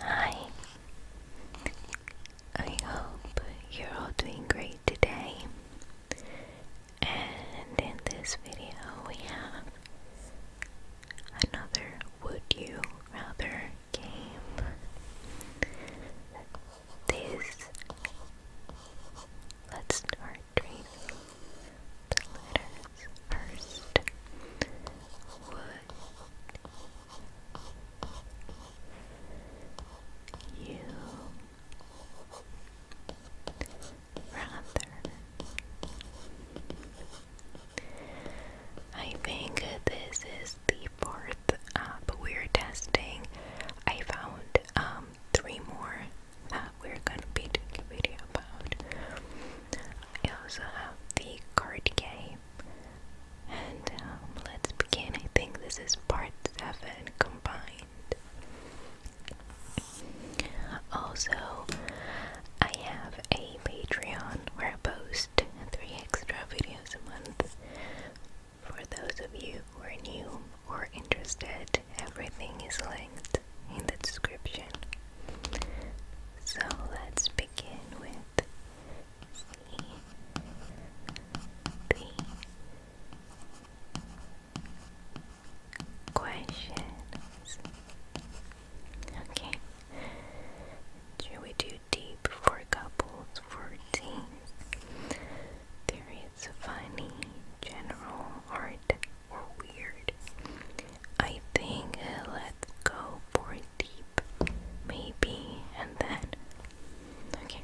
Hi, I hope you're all doing great today. And in this video, we have another Would You Rather game. This, let's start tracing the letters first. Would you rather. I think this is the fourth app we're testing. I found um, three more that we're gonna be doing a video about. also the card game and um, let's begin. I think this is part 7 combined. Also, I have a Patreon where I post 3 extra videos a month. For those of you who are new or interested, everything is linked in the description. So let's begin with the questions. Okay. Should we do deep for couples for teens? There is funny, general, art, or weird. I think uh, let's go for deep maybe, and then. Okay.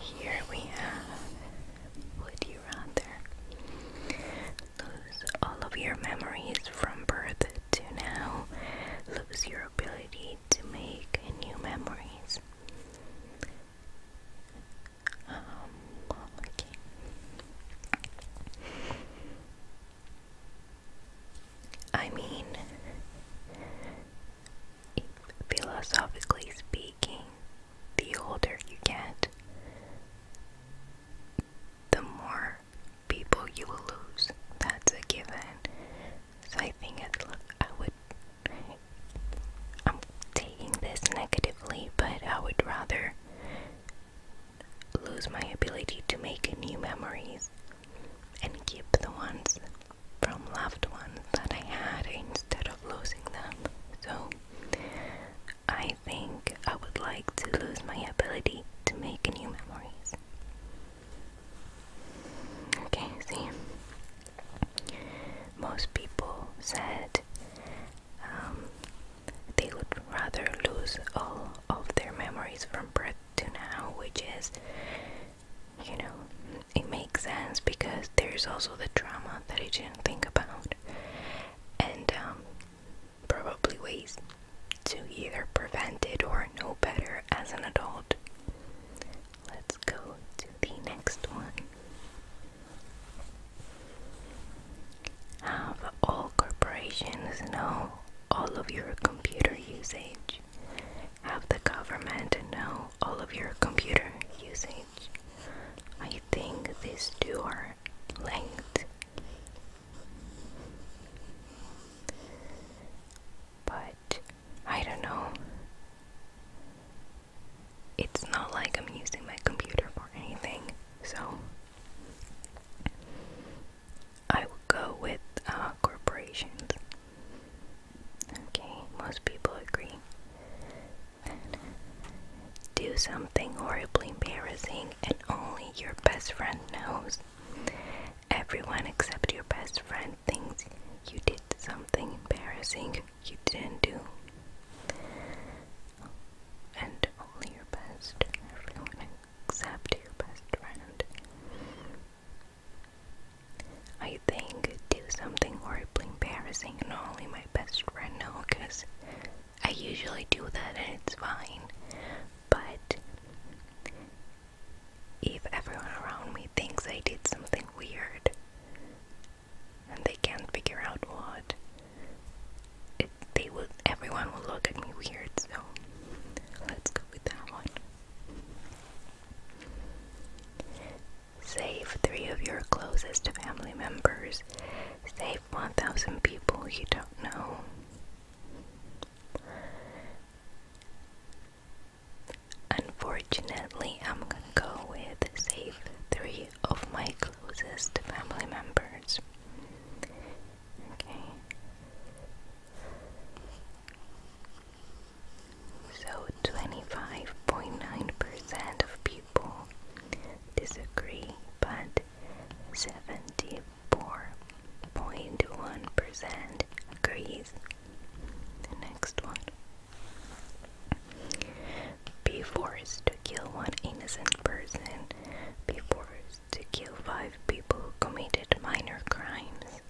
Here we have Would you rather lose all of your memories from birth to now, lose your ability to make new memories? Um, okay. I mean, philosophically speaking, the older you get, the more people you will lose. That's a given. So I think I'd I'm taking this negatively, but I would rather lose my ability to make new memories and keep the ones from loved ones that I had instead of losing them. So I think I would like to lose my ability to make new memories. Okay, see. Most people said um, they would rather lose all of their memories from birth to now, which is, you know, it makes sense because there's also the trauma that I didn't think about, and um, probably ways to either prevent it or know better as an adult. Let's go to the next one. Have all corporations know all of your computer usage? Have the government know all of your computer usage? I think these two are linked. But I don't know. It's not like I'm using my computer for anything, so I would go with uh, corporations. Okay, most people agree. Do something horribly embarrassing and only your best friend knows. Everyone except your best friend thinks you did something embarrassing you didn't do. And only your best, except your best friend. I think do something horribly embarrassing and only my best friend know because I usually do that and it's fine. But if everyone around me thinks I did something weird and they can't figure out what, they would everyone will look at me weird so let's go with that one save three of your closest family members save 1000 people you don't know Unfortunately, I'm gonna go with save three of my closest family members. Okay. So 25.9% of people disagree, but 74.1% agrees. next one. Be forced to kill one innocent person. Be forced to kill five people who committed minor crimes.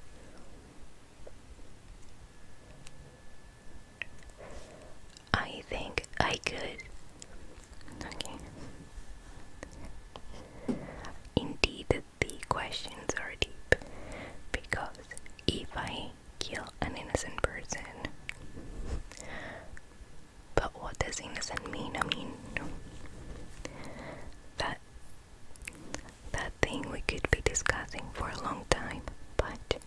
I think I could. Okay. Indeed, the questions are deep because if I kill an innocent person, but what does innocent mean? I mean, that that thing we could be discussing for a long time. But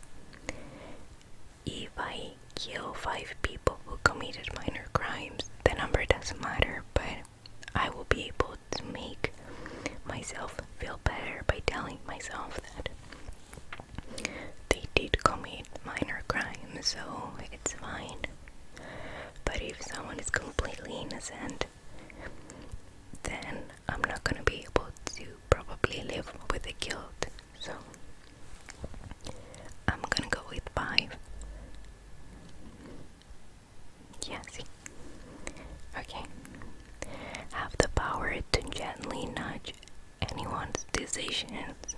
if I kill five people who committed minor crimes, the number doesn't matter. But I will be able to make myself feel better by telling myself that they did commit minor crimes, so it's fine. But if someone is completely innocent, then I'm not gonna be able to probably live with the guilt. So I'm gonna go with five. Yeah, Okay. Have the power to gently nudge anyone's decisions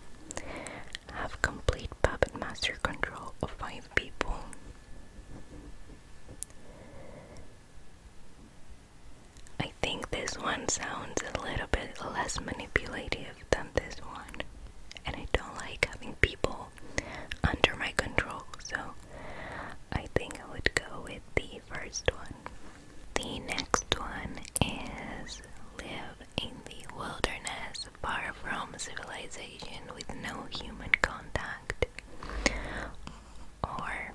have complete puppet master control of five people. I think this one sounds a little bit less manipulative than this one, and I don't like having people under my control, so I think I would go with the first one. The next one is live in the wilderness, far from civilization, with no human contact, or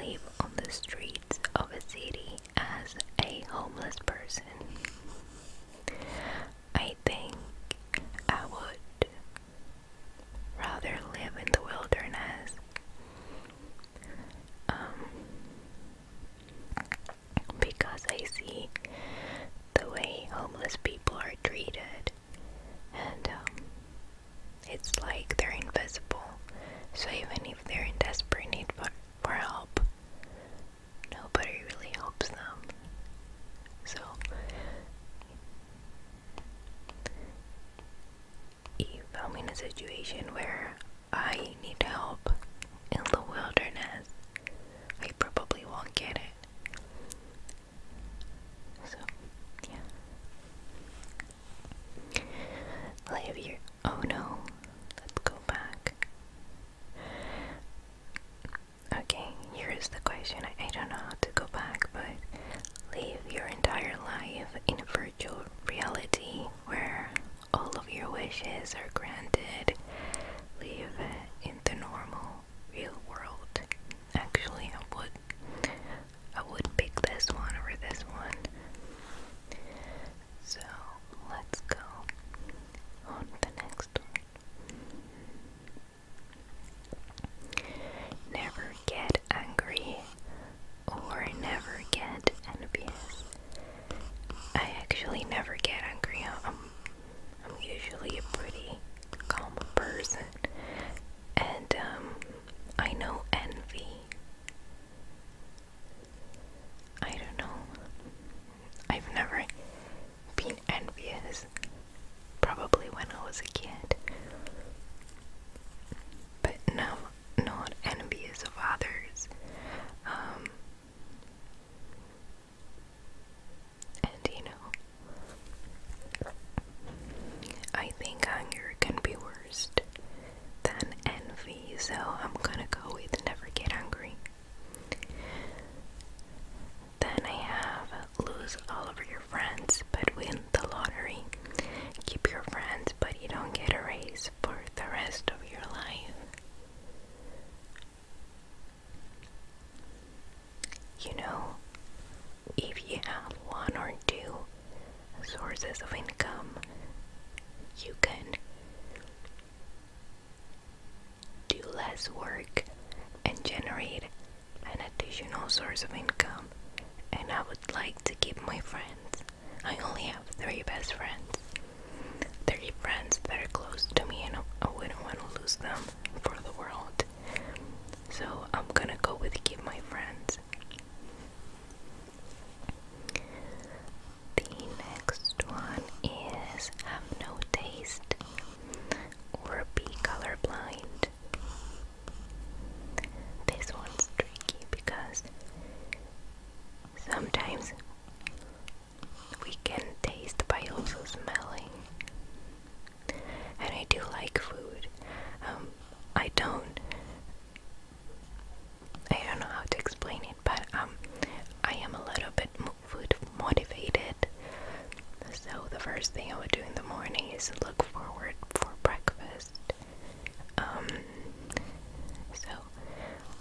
live on the streets of a city as a homeless person. I think I would rather live in the wilderness. Um, because I see the way homeless people are treated, and um, it's like they're invisible. So even if they're in desperate need for, for help, nobody really helps them. So if I'm in a situation where I need help in the wilderness, I probably won't get it. So, yeah. Lavier. Oh no. Let's go back. Okay, here is the question. I, I don't know how to go back, but live your entire life in virtual reality where all of your wishes are granted. Live in the normal real world. Actually, I would I would pick this one over this one. So let's go on the next Never get angry or never get envious. I actually never get angry. I'm usually a pretty calm person, and um, I know envy. I don't know. I've never been envious, probably when I was a kid, but now not envious of others. Um, and you know, I think hunger can be worse than envy, so I'm gonna go with never get hungry. Then I have lose all of your friends but win the lottery. Keep your friends but you don't get a raise for the rest of your life. You know, if you have one or two sources of income, you can do less work and generate an additional source of income. And I would like to keep my friends. I only have three best friends. They're friends that are close to me, and I wouldn't want to lose them for the world. So I'm gonna go with keep my friends. The next one is have no taste or be colorblind. This one's tricky because sometimes we can taste by also smelling. And I do like food. Um, I don't. I don't know how to explain it, but um, I am a little bit food motivated. So the first thing I would do in the morning is look forward for breakfast. Um, so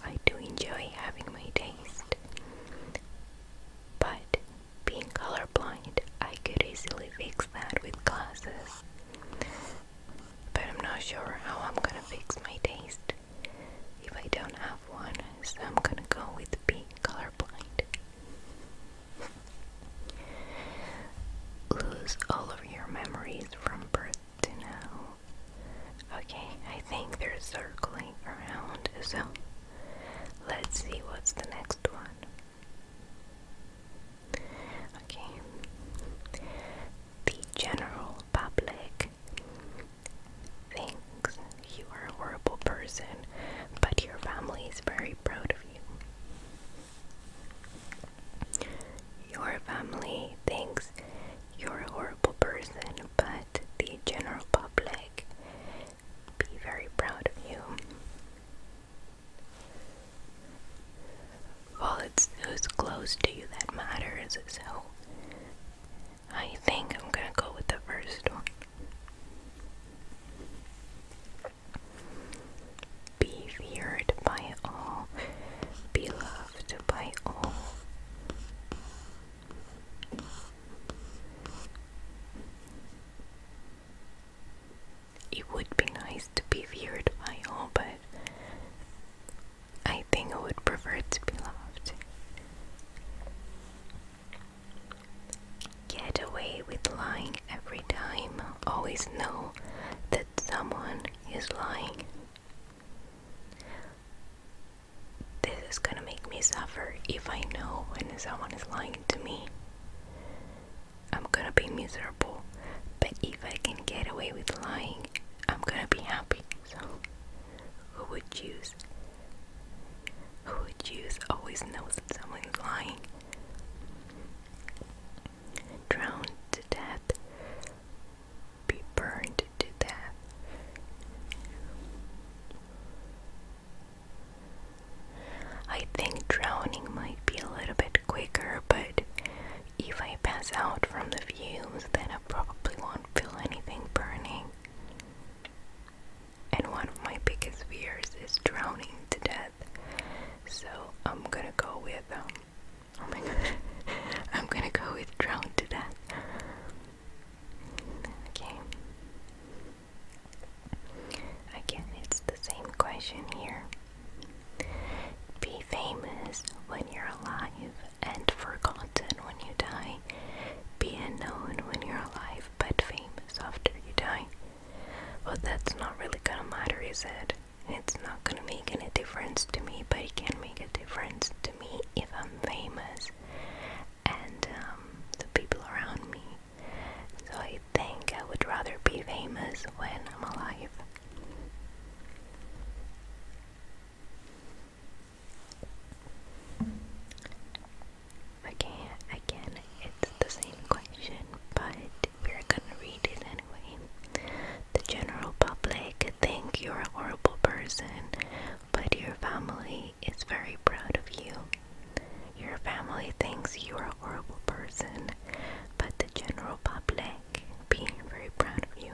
I do enjoy having my taste. But being colorblind, I could easily fix that with glasses. But I'm not sure how I'm gonna fix my taste if I don't have one, so I'm gonna go with being colorblind. Lose all of your memories from birth to now. Okay, I think they're circling around, so let's see what's the next one. Okay, the general public thinks you are a horrible person, but your family is very proud of you. Your family thinks you're a horrible person, but the general public be very proud of you. Well, it's who's close to you that matters, so I think I'm gonna go with the first one. Be feared by all, be loved by all, it would be nice to be feared by all, but I think I would prefer to be loved. Get away with lying every time. Always know that someone is lying. This is gonna make me suffer if I know when someone is lying to me. I'm gonna be miserable, but if I can get away with lying, I'm gonna be happy. So, who would choose? Who would choose always knows that someone's lying? Drowned to death be burned to death. I think drowning might be a little bit quicker, but if I pass out from the fumes, then I probably won't feel anything burning. And one of my biggest fears is drowning to death, so I'm gonna go with um, oh my god, I'm gonna go with drowning to death. Okay. Again, it's the same question here. Be famous when you're alive and forgotten when you die. Be unknown when you're alive but famous after you die. Well, that's not really gonna matter, is it? It's not gonna make any difference to me, but it can make a difference to me if I'm famous and um, the people around me. So I think I would rather be famous when I'm alive. Okay, again, it's the same question, but we're gonna read it anyway. The general public think you're a horrible person but your family is very proud of you. Your family thinks you are a horrible person, but the general public being very proud of you.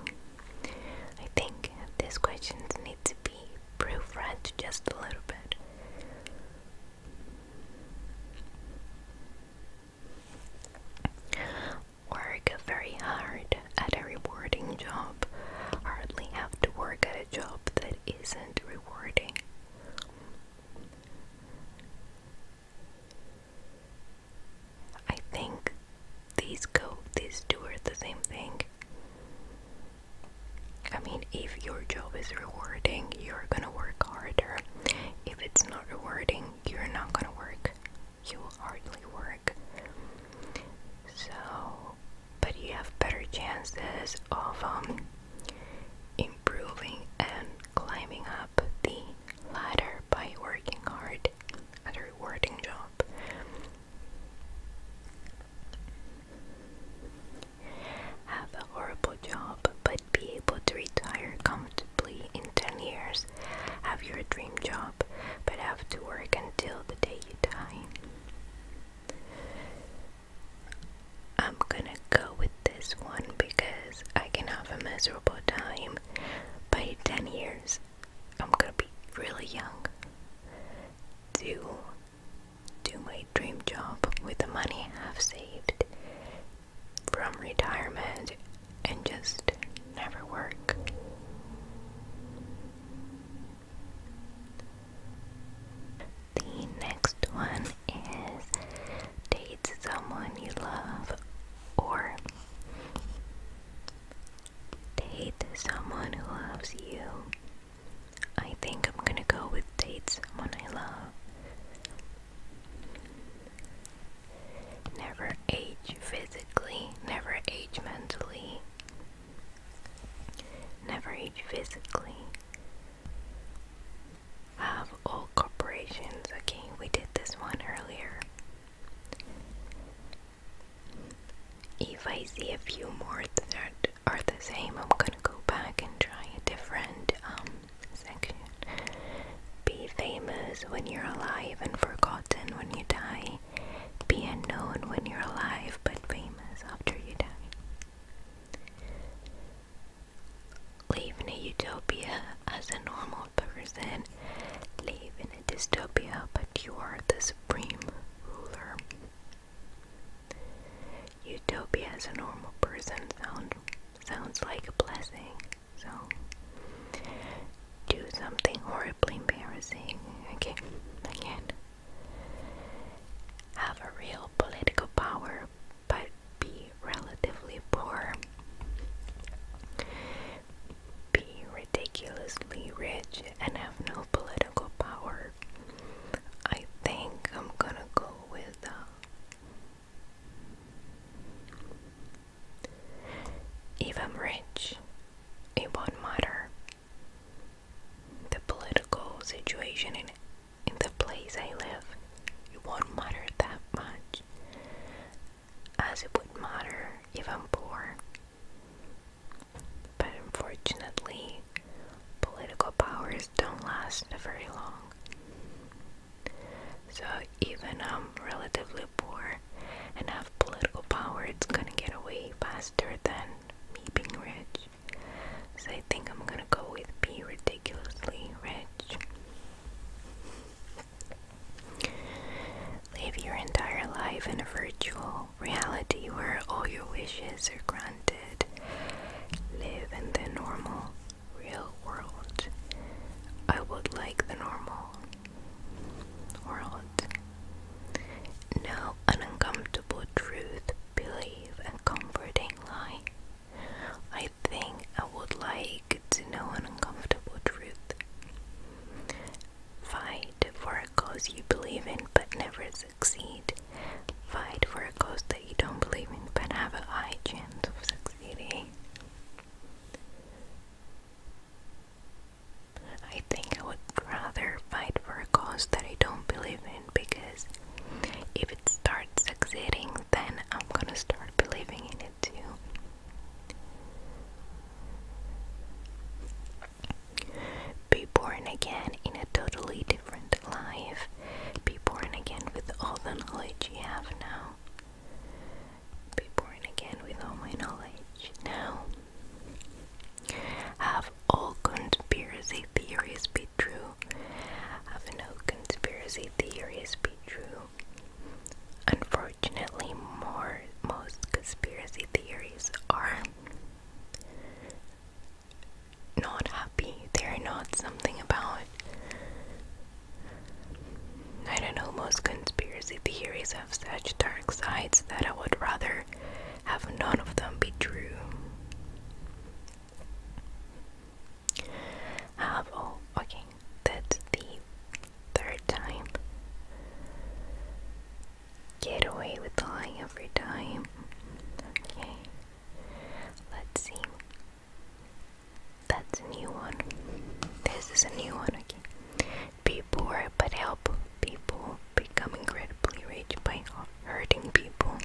I think these questions need to be proofread just a little bit. Work very hard at a rewarding job hardly have to work at a job that isn't rewarding. I think these go these two are the same thing. I mean, if your job is rewarding, you're gonna work harder. If it's not rewarding, you're not gonna work. You will hardly work. So, but you have better chances of um, improving and climbing up the ladder by working hard at a rewarding job. Have a horrible job, but be able to retire comfortably in 10 years. Have your dream job, but have to work until the day I'm gonna go with this one because I can have a miserable time. By 10 years, I'm gonna be really young. Do do my dream job with the money I've saved from retirement and just never work. The next one is date someone you love or date someone who loves you. I think I'm gonna go with date someone I love. Never age physically, never age mentally, Never age physically. Have all corporations. Okay, we did this one earlier. If I see a few more that are the same, I'm gonna go back and try a different um, section. Be famous when you're alive and forgotten when you die may be unknown when you're alive but famous after you die. Live in a utopia as a normal person. Live in a dystopia, but you are the supreme ruler. Utopia as a normal person sound, sounds like a blessing. So, do something horribly embarrassing. Okay, again. Have a real political power, but be relatively poor. Be ridiculously rich and have no political power. I think I'm gonna go with. Uh, if I'm rich, it won't matter the political situation in in the place I live, won't matter that much as it would matter if I'm poor. But unfortunately, political powers don't last very long. So even I'm relatively poor and have political power, it's gonna get away faster than me being rich. So I think I'm gonna go with be ridiculously rich. Live your entire life in a virtual reality where all your wishes are granted. Live in the normal, real world. I would like the normal, world. an uncomfortable truth, believe, and comforting lie. I think I would like to know an uncomfortable truth. Fight for a cause you believe in but never succeed. Fight for a cause that you don't believe in but have a high chance of succeeding. I think I would rather fight for a cause that I don't believe in because if it starts succeeding, then I'm gonna start believing in it too. Be born again in a totally different life. Be born again with all the knowledge you have now. Be born again with all my knowledge now. Have all conspiracy theories be true? Have no conspiracy theories be true? Unfortunately, more most conspiracy theories are not happy. They're not something about. I don't know, most conspiracy theories have such dark sides that I would rather have none of them be true. Have all okay, that's the third time. Get away with lying every time. Okay, let's see. That's a new one. This is a new one, okay be poor but help people become incredibly rich by hurting people.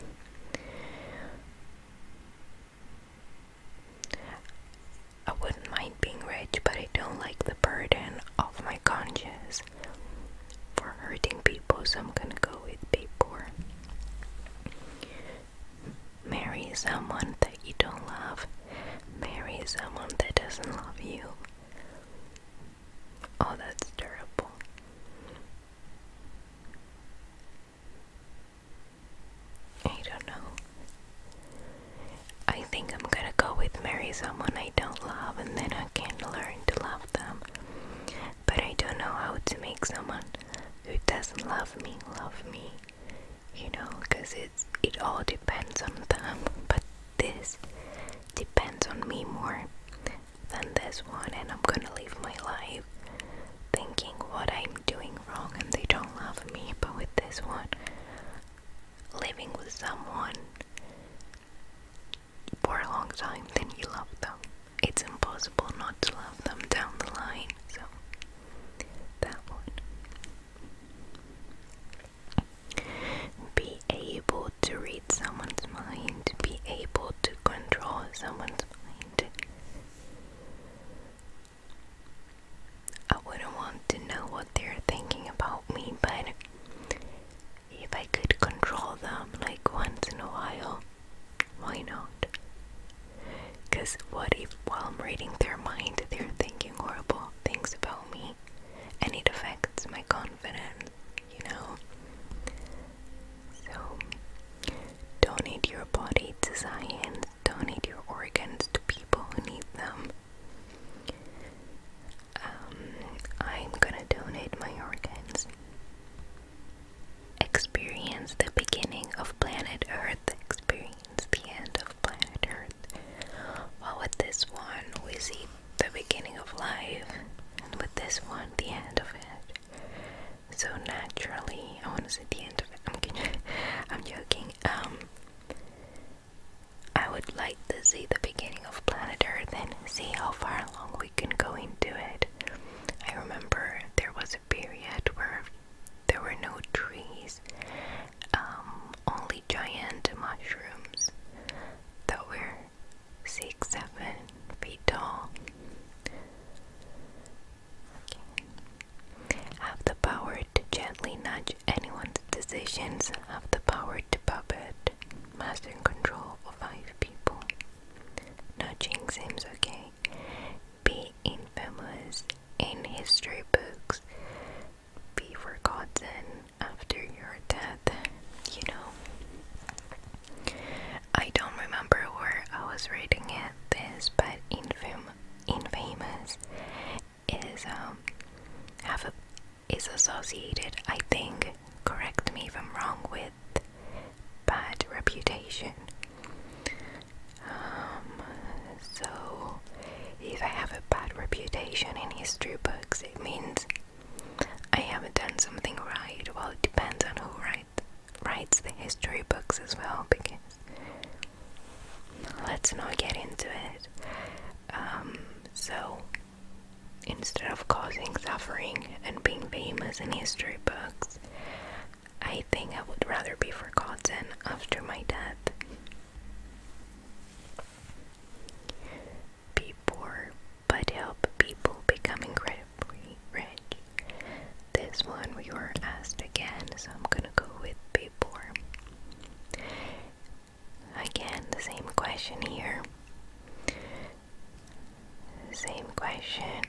I wouldn't mind being rich, but I don't like the burden of my conscience for hurting people, so I'm gonna go with be poor. Marry someone that you don't love. Marry someone that doesn't love you. Oh, that's terrible. I don't know. I think I'm gonna go with marry someone I don't love and then I can learn to love them. But I don't know how to make someone who doesn't love me love me. You know, because it all depends on them. But this depends on me more than this one, and I'm gonna live my life thinking what I'm doing wrong and they don't love me. But with this one, living with someone for a long time, then you love them. It's impossible not to love them down the line, so that one. Be able to read someone's mind, be able to control someone's mind. I wouldn't want to know what they're thinking about me, but if I could control them like once in a while, why not? Because what if while I'm reading their mind, they're thinking horrible things about me and it affects my con you know? So, donate your body to science, donate your organs to people who need them. Um, I'm gonna donate my organs. Experience the beginning of planet Earth, experience the end of planet Earth. Well, with this one, we see the beginning of life, and with this one, the end of it. So naturally, I want to see the end of it. I'm going I'm joking. Um, I would like to see the beginning of planet Earth and see how far along we can go into it. I remember there was a period where there were no trees, um, only giant mushrooms that were six, seven feet tall. Okay. Have the power to gently nudge anyone's decisions. Have the power to puppet. Master control of five people. Nudging seems okay. Be infamous in history books be forgotten after your death, you know. I don't remember where I was reading it this, but infam infamous is um have a is associated, I think, correct me if I'm wrong, with bad reputation. Um, so, if I have a bad reputation in history books, it means I haven't done something right. Well, it depends on who write, writes the history books as well, because let's not get into it. Um, so, instead of causing suffering and being famous in history books, I think I would rather be forgotten after my death be poor but help people become incredibly rich. This one we were asked again, so I'm gonna go with be poor. Again, the same question here. Same question.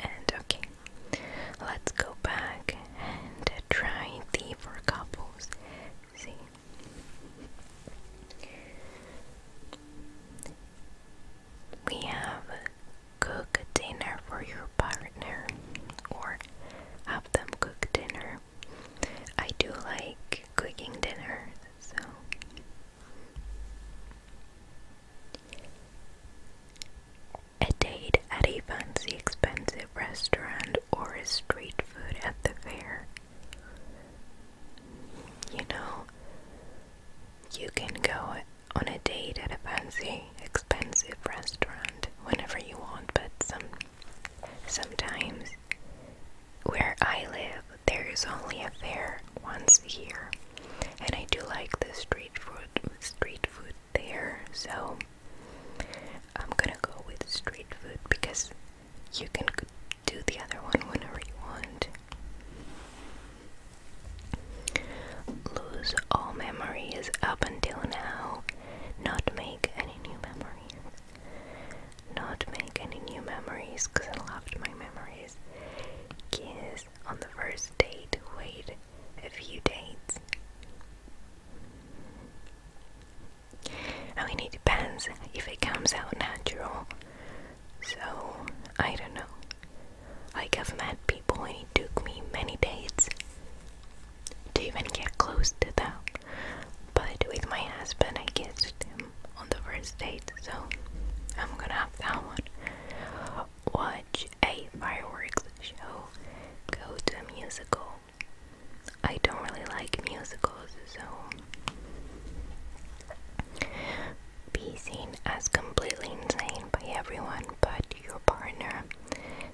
And okay, let's go back and try the for couple See? We have cook dinner for your partner or have them cook dinner. I do like cooking dinner, so a date at a fancy expensive restaurant or a street food at the fair. You know, you can go on a date at a fancy expensive restaurant whenever you want, but some sometimes where I live there is only a fair once a year. And I do like the street food street food there, so I'm gonna go with street food because you can do the other one whenever you want. Lose all memories up until now, not make any new memories. Not make any new memories because I loved my memories. Kiss on the first date, wait a few dates. I mean, it depends if it comes out natural. So, I don't know. Like, I've met people and it took me many dates to even get close to them. But with my husband, I kissed him on the first date, so I'm gonna have that one. Watch a fireworks show, go to a musical, I don't really like musicals, so be seen as completely insane by everyone but your partner,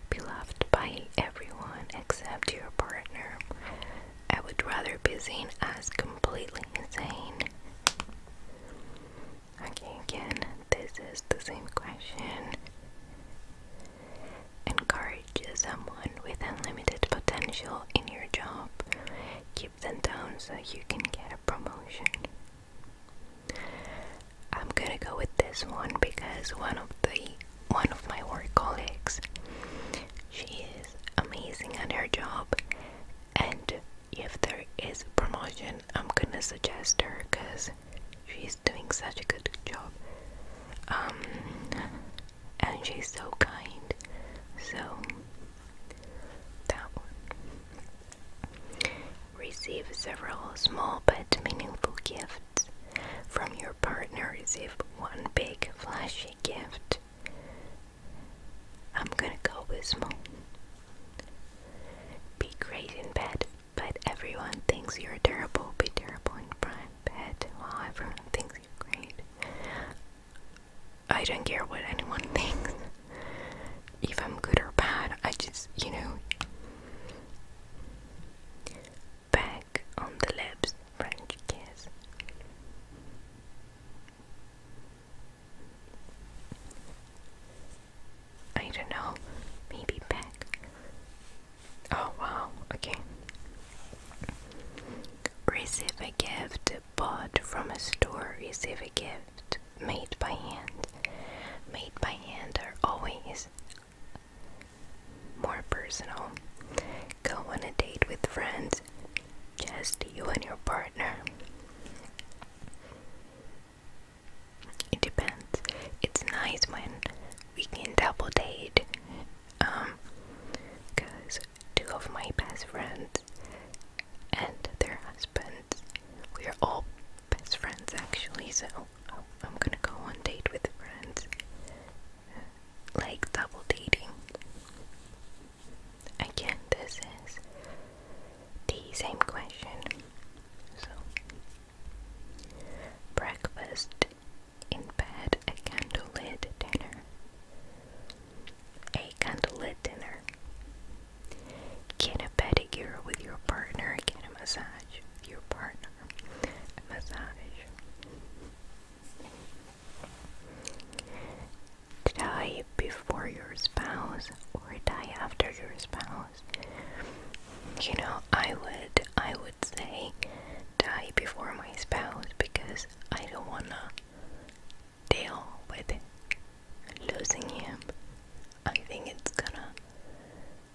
be loved by everyone except your partner. I would rather be seen as completely insane. Okay, again, this is the same question. Encourage someone with unlimited potential in your job. Keep them down so you can get a promotion. I'm gonna go with this one because one of the one of my work colleagues she is amazing at her job and if there is a promotion I'm gonna suggest her because she's doing such a good job. Um, and she's so kind. So, that one. Receive several small but meaningful gifts from your partner. Receive one big flashy gift. I'm gonna go with small. Be great in bed. But everyone thinks you're terrible, be terrible in front bed while everyone thinks you're great. I don't care what anyone thinks. If I'm good or bad, I just, you know. Back on the lips, French kiss. I don't know, maybe back. Oh wow, okay. Receive a gift bought from a store. Receive a gift made by hand. Made by hand are always more personal. Go on a date with friends. Just you and your partner. It depends. It's nice when we can double date. Um, because two of my best friends and their husbands, we are all best friends actually, so I'm gonna go on date with friends. Like double dating. Again, this is the same question. So, breakfast in bed a candlelit dinner. A candlelit dinner. Get a pedicure with your partner. Get a massage with your partner. A massage. Die before your spouse or die after your spouse. You know, I would I would say die before my spouse because I don't wanna deal with losing him. I think it's gonna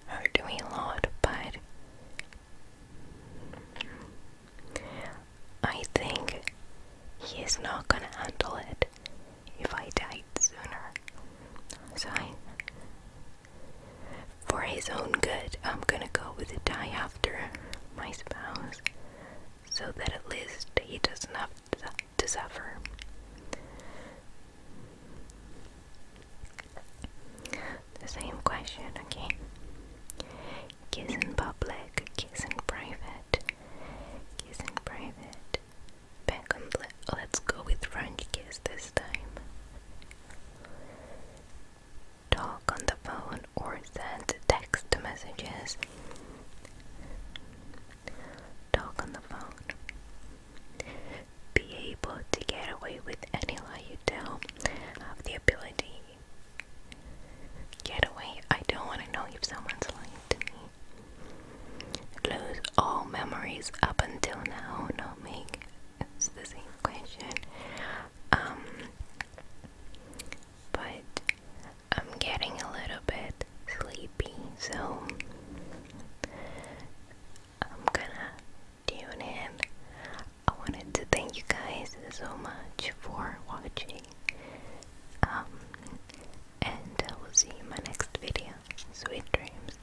hurt me a lot, but I think he's not gonna handle it if I died sooner. So I for his own good, I'm gonna go with the die after my spouse, so that at least he doesn't have to suffer. The same question, okay? Kiss in public, kiss in private, kiss private. Back on, let's go with French kiss this time talk on the phone, or send text messages. Talk on the phone. Be able to get away with any you tell. Have the ability. Get away. I don't want to know if someone's lying to me. Close all memories up until now. Not make it's the same question. Um, but I'm getting a little bit sleepy, so I'm gonna tune in. I wanted to thank you guys so much for watching. Um, and I will see you in my next video. Sweet dreams.